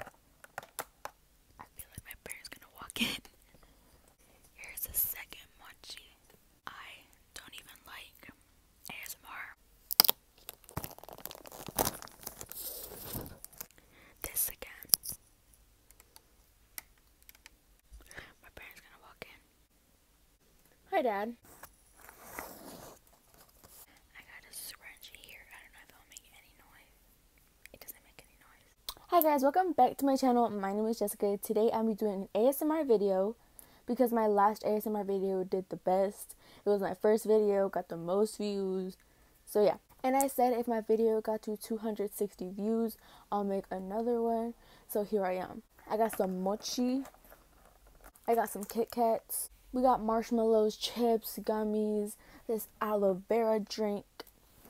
I feel like my parents gonna walk in. Here's the second munchie. I don't even like ASMR. This again. My parents gonna walk in. Hi, Dad. I got a scrunchie here. I don't know if it'll make any noise. Hi guys, welcome back to my channel. My name is Jessica. Today I'm doing an ASMR video because my last ASMR video did the best. It was my first video, got the most views. So yeah. And I said if my video got to 260 views, I'll make another one. So here I am. I got some mochi. I got some Kit Kats. We got marshmallows, chips, gummies, This aloe vera drink.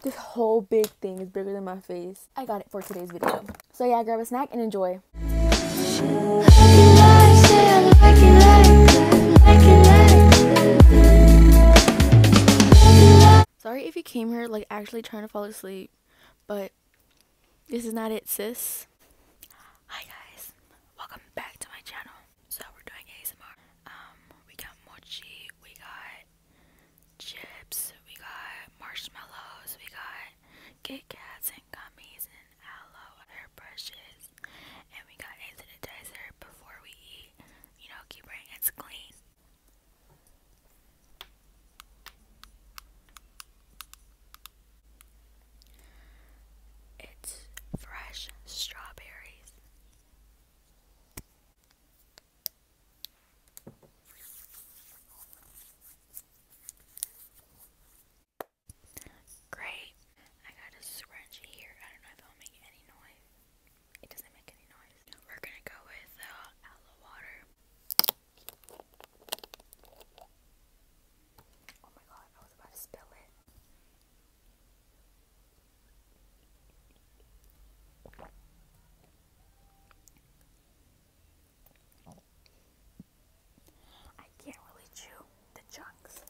This whole big thing is bigger than my face. I got it for today's video. So yeah, grab a snack and enjoy. Sorry if you came here like actually trying to fall asleep, but this is not it, sis. Hi guys, welcome back to my channel. So we're doing ASMR. Um, we got mochi, we got chips, we got marshmallows, we got Kit Kats and gummies and aloe hairbrushes, and we got hand sanitizer before we eat. You know, keep our hands clean. It's fresh strawberries. Great. I got a scrunchie here. I don't know if it'll make any noise. It doesn't make any noise. We're gonna go with uh, aloe water. Oh my god, I was about to spill it. I can't really chew the chunks.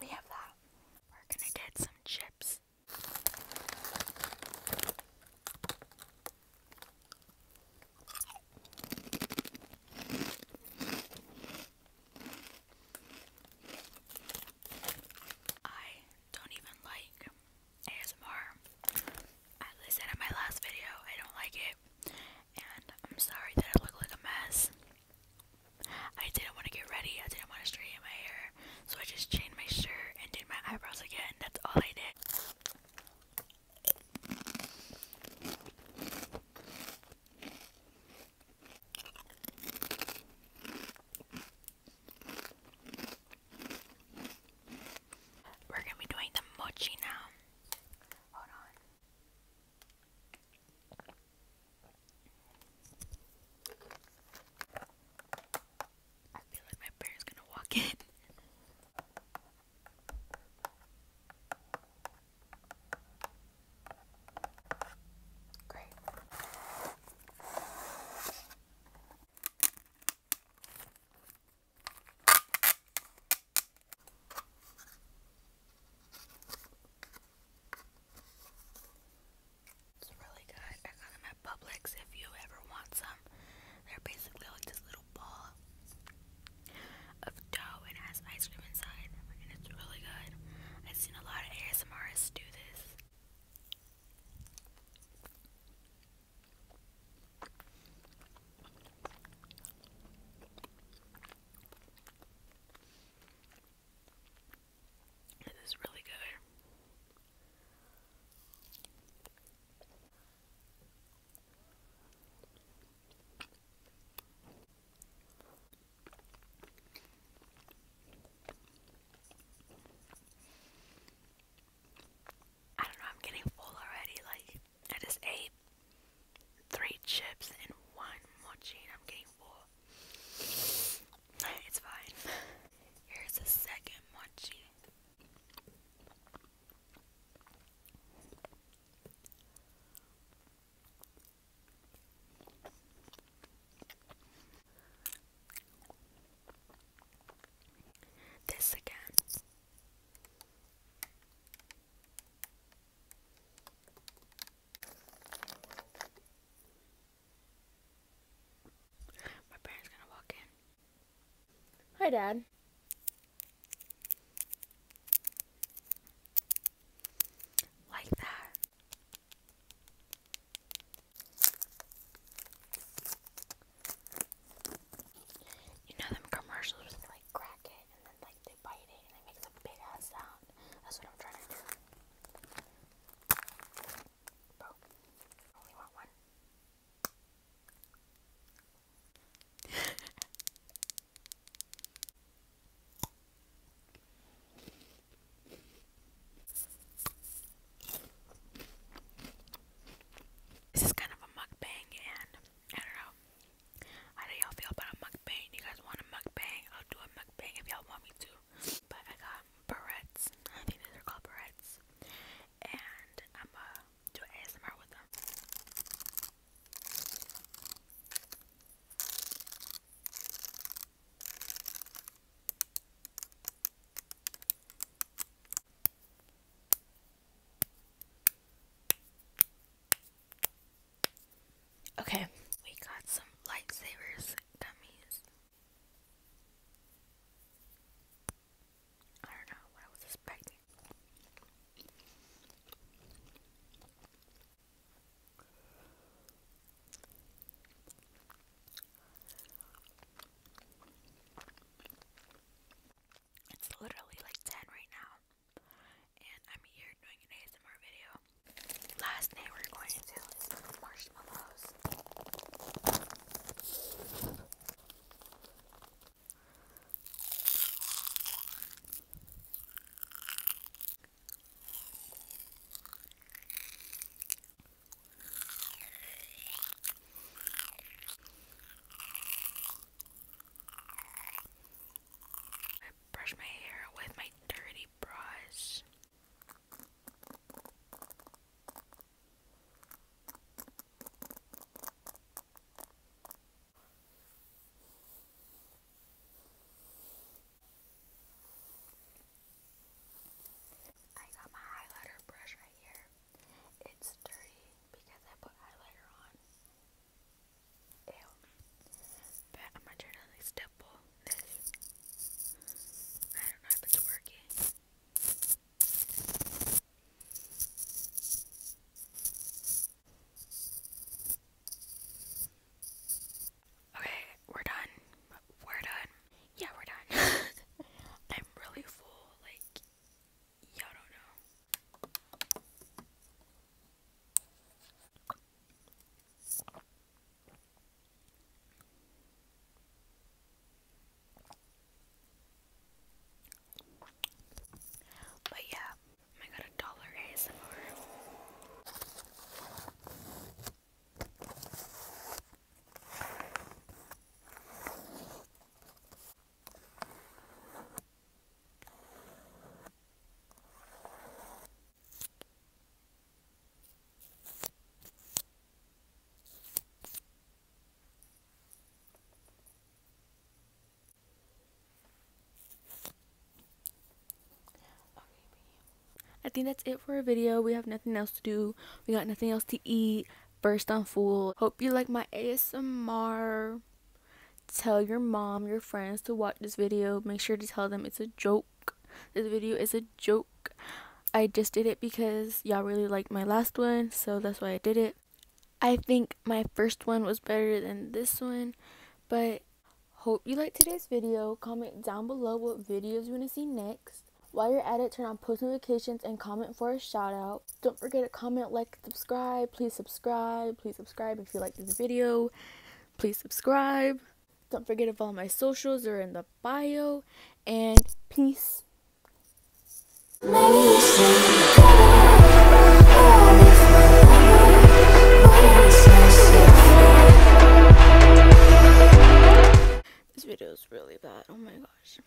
We have that. We're gonna get some chips. I don't even like ASMR. I said in my last video, I don't like it and I'm sorry that I look like a mess. I didn't want to get ready, I didn't want to straighten my hair, so I just changed my shirt and did my eyebrows again. That's all I did. We're gonna be doing the mochi now. Hold on. I feel like my parents gonna walk in. Great. It's really good. I got them at Publix if you ever want some. They're basically like this little ball of dough and has ice cream inside. And it's really good. I've seen a lot of ASMRs do this. It is really good. I don't know, I'm getting full already, like I just ate three chips and one mochi, and I'm getting four. It's fine. Here's the second mochi. This again. My parents gonna walk in. Hi, Dad. Like that. You know them commercials crack it and then like they bite it and it makes a big ass sound. That's what I'm trying to do. Bro, only want one. this is kind of a mukbang and I don't know. How do y'all feel about a mukbang? You guys want a mukbang? I'll do a mukbang if y'all want me to. But I got barrettes. I think these are called barrettes. And I'm gonna do ASMR with them. Okay, we got some lightsabers gummies. I don't know what I was expecting. It's literally like 10 right now. And I'm here doing an ASMR video. Last thing we're going to do marshmallows. I brush my hair with my dirty brush. I got my highlighter brush right here. It's dirty because I put highlighter on. Ew. But I'm gonna try to like stipple I don't know if it's working. Okay, we're done. We're done. Yeah, we're done. I'm really full. Like, but yeah, I got a dollar ASMR. I think that's it for our video. We have nothing else to do. We got nothing else to eat. Burst on Fool. Hope you like my ASMR. Tell your mom, your friends to watch this video. Make sure to tell them it's a joke. This video is a joke. I just did it because y'all really liked my last one, so that's why I did it. I think my first one was better than this one, but hope you like today's video. Comment down below what videos you want to see next. While you're at it, turn on post notifications and comment for a shout out. Don't forget to comment, like, subscribe. Please subscribe. Please subscribe if you like this video. Please subscribe. Don't forget to follow my socials. are in the bio. And peace. This video is really bad. Oh my gosh.